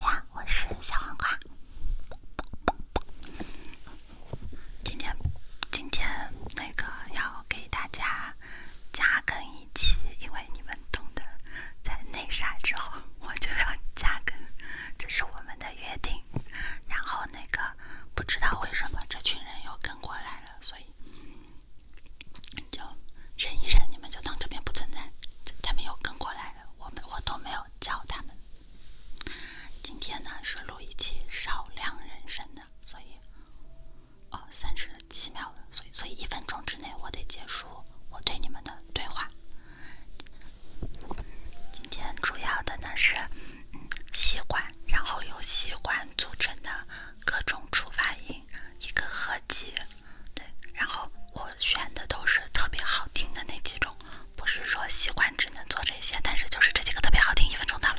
呀，我是小黄瓜。今天，今天那个要给大家加更一期，因为你们懂得，在那啥之后我就要加更，这是我们的约定。然后那个不知道为什么这群人又跟过来了，所以就忍一忍，你们就当这边不存在，他们又跟过来了，我们我都没有。教他们。今天呢是录一期少量人声的，所以哦，三十七秒了，所以所以一分钟之内我得结束我对你们的对话。今天主要的呢是吸管，然后由吸管组成的各种触发音一个合集。对，然后我选的都是特别好听的那几种，不是说喜欢只能做这些，但是就是这几个特别好听，一分钟到了。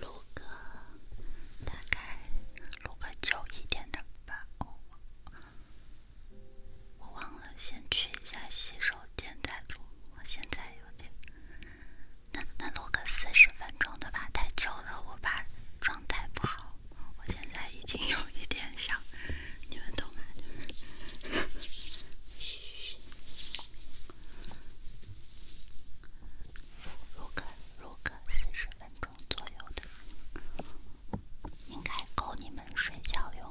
录个，大概录个久一点的吧。我我忘了，先去一下洗手间再录。我现在有点，那那录个四十分钟的吧，太久了，我怕状态不好。我现在已经有一点小，你们懂吗？如果如果四十分钟左右的，应该够你们睡觉用。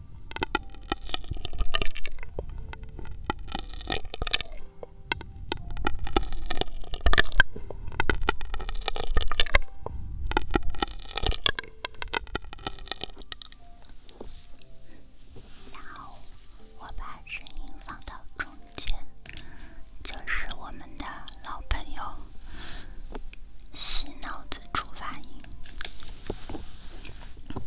然后我把声音放到中间，就是我们的老朋友——洗脑子助发音。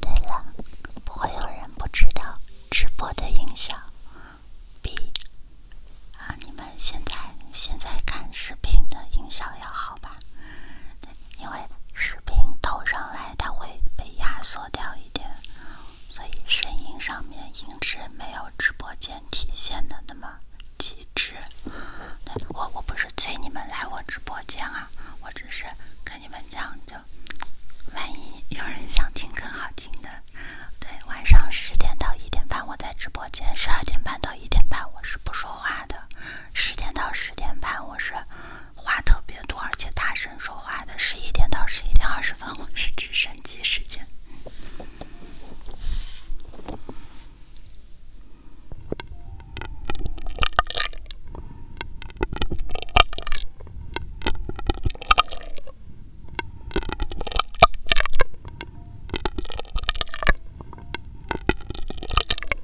对了，不会有人不知道直播的音效比啊你们现在现在看视频的音效要好吧？因为视频投上来，它会被压缩掉一点，所以声音上面音质没有直播间体现的那么极致。我我不是催你们来我直播间啊，我只是跟你们讲，就万一有人想听更好听的，对，晚上十点到一点半我在直播间，十二点半到一点半我是不说话的，十点到十点半我是。话特别多，而且大声说话的十一点到十一点二十分，我是直升机时间。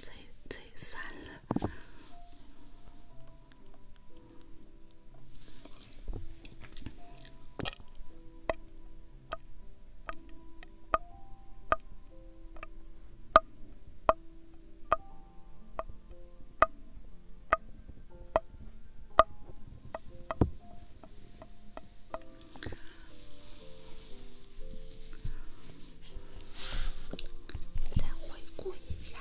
最最烦了。再回顾一下。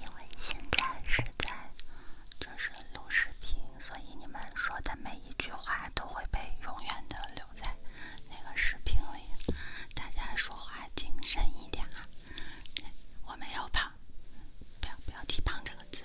因为现在是在就是录视频，所以你们说的每一句话都会被永远的留在那个视频里。大家说话谨慎一点啊！我没有胖，不要不要提胖这个字。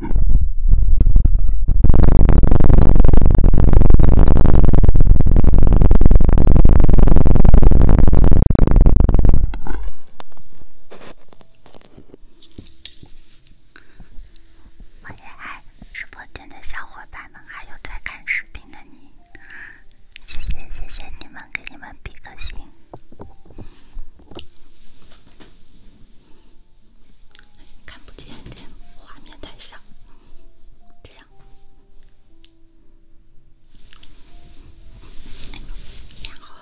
我爱直播间的小伙伴们，还有在看视频的你，谢谢谢谢你们，给你们比个心。看不见，这画面太小。这样，然后。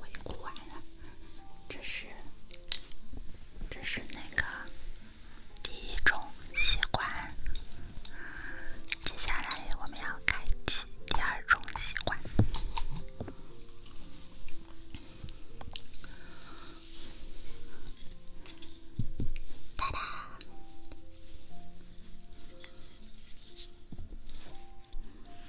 回顾完了，这是这是那个第一种习惯。接下来我们要开启第二种习惯。哒哒。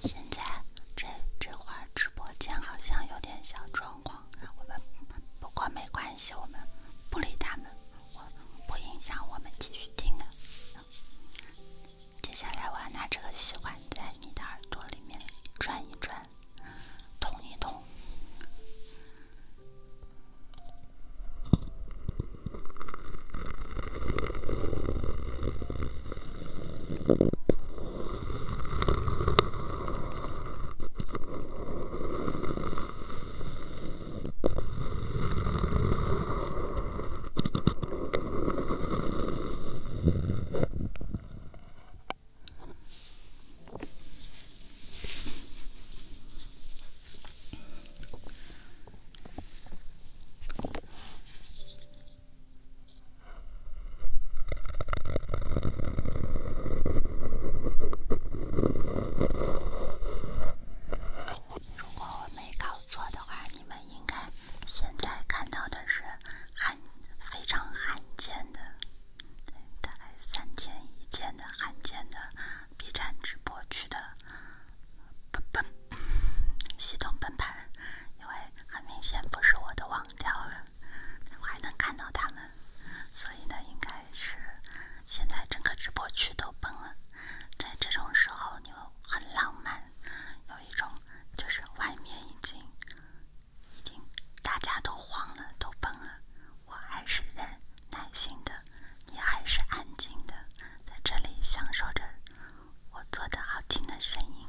现在这这会儿直播间好像有点小状况，我们不过没关系，我们不理他们，我不影响我们继续听的。接下来，我要拿这个吸管在你的耳朵里面转一转，捅一捅。如果我没搞错的话，你们。应该现在看到的是罕非常罕见的，大概三天一见的罕见的 B 站直播区的崩崩系统崩盘，因为很明显不是我的网掉了，我还能看到他们，所以呢，应该是现在整个直播区都崩了。在这种时候，你会。很浪漫，有一种就是外面已经，已经大家都慌了，都崩了。我还是忍耐心的，你还是安静的，在这里享受着我做的好听的声音。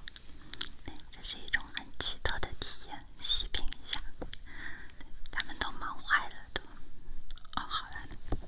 这是一种很奇特的体验，细品一下。他们都忙坏了，都哦，好了。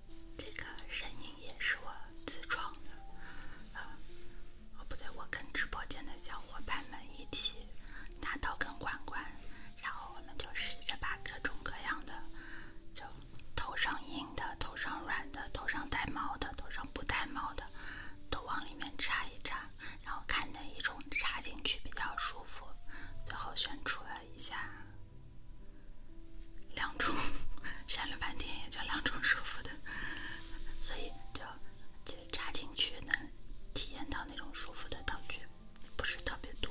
这个声音也是我自创的，呃，哦不对，我跟直播间的小伙伴们一起拿到根管管，然后我们就试着把各种各样的，就头上硬的、头上软的、头上带毛的、头上不带毛的，都往里面插一插，然后看哪一种插进去比较舒服，最后选出了一下。两种，想 了半天也就两种舒服的，所以就其实插进去能体验到那种舒服的道具不是特别多。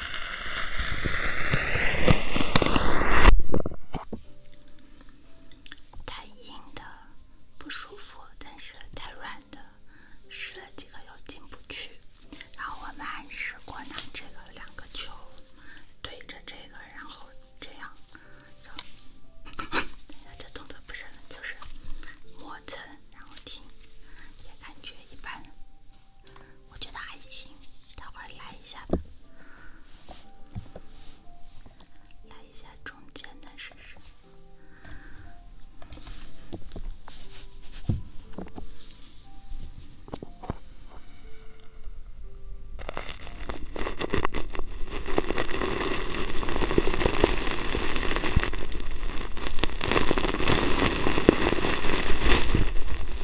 太硬的不舒服，但是太软的试了几个又进不去。然后我们还试过拿这个两个球对着这个，然后这样。这动作不是，就是磨蹭，然后停，也感觉一般。我觉得还行，待会儿来一下吧，来一下中间的试试。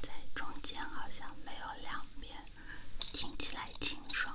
在中间好像没有两边，听起来清爽。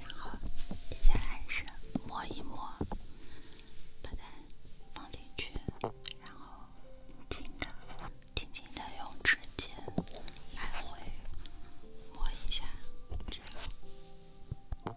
然后，接下来是摸一摸，把它放进去，然后，轻的，轻轻的用指尖来回摸一下，这个。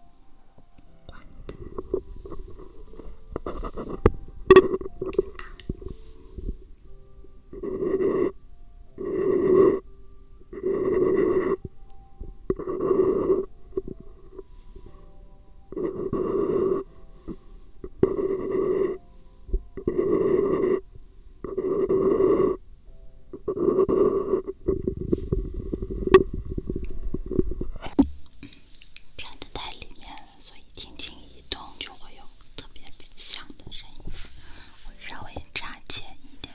插在里面，所以轻轻一动就会有特别响的声音。我稍微插浅一点。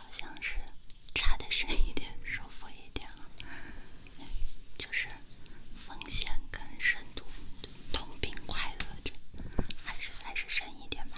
好像是差的深一点，舒服一点，就是风险跟深度同频快乐着，还是还是深一点吧。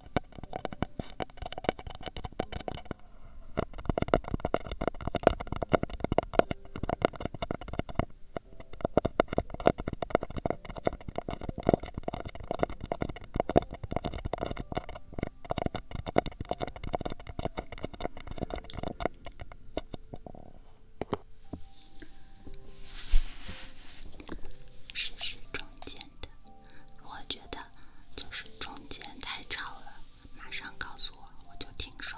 试是，中间。我觉得就是中间太吵了，马上告诉我，我就停手。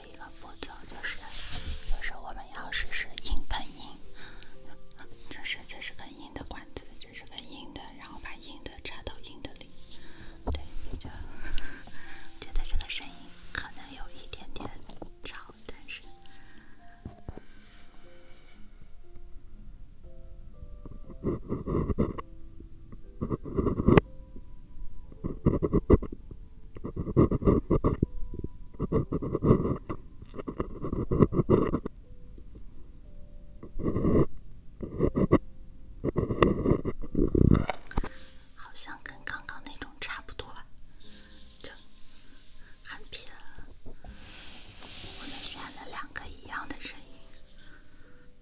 一个步骤就是，就是我们要试试硬碰硬，就是这是个硬的管子，这是个硬的，然后把硬的插到硬的里，对，比较觉得这个声音可能有一点点吵，但是。好像跟刚刚那种差不多，就很偏。我们选了两个一样的声音。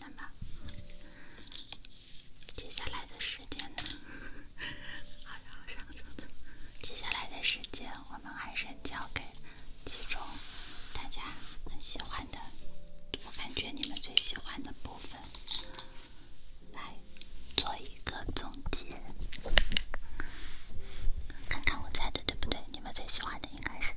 那么，接下来的时间呢？好，好，像个样子。接下来的时间，我们还是交给其中大家很喜欢的，我感觉你们最喜欢的部分，来做一个总结，看看我猜的对不对？你们最喜欢的应该是。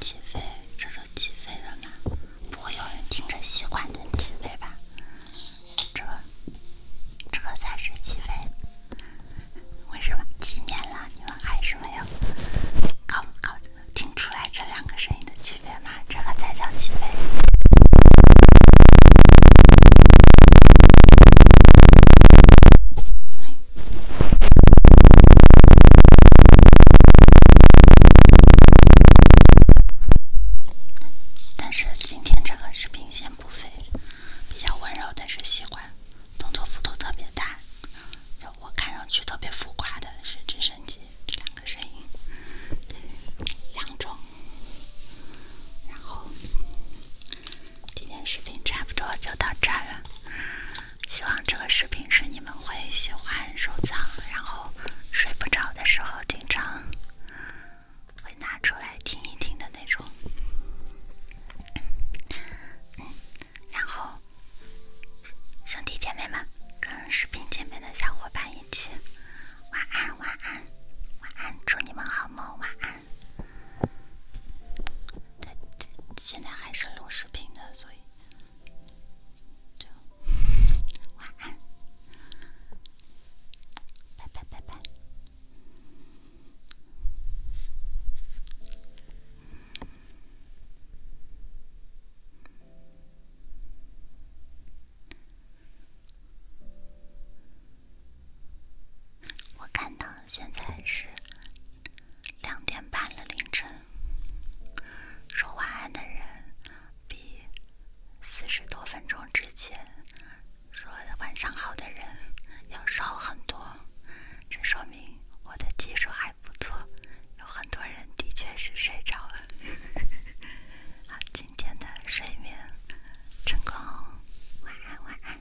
起飞，这就起飞了吗？不会有人听着吸管的起飞吧？这，这个才是起飞。为什么几年了，你们还是没有搞不搞听出来这两个声音的区别吗？这个才叫起飞。但是今天这个视频先不飞，比较温柔，但是喜欢动作幅度特别大，我看上去特别浮夸的是直升机这两个声音，两种。然后今天视频差不多就到这儿了。希望这个视频是你们会喜欢收藏，然后睡不着的时候经常会拿出来听一听的那种。然后，兄弟姐妹们跟视频前面的小伙伴一起晚安，晚安，晚安，祝你们好梦，晚安。这这现在还是录视频的，所以。祝晚安，拜拜拜拜。我看到现在是。两点半了，凌晨说晚安的人比四十多分钟之前说的晚上好的人要少很多，这说明我的技术还不错，有很多人的确是睡着了。好，今天的睡眠成功，晚安，晚安。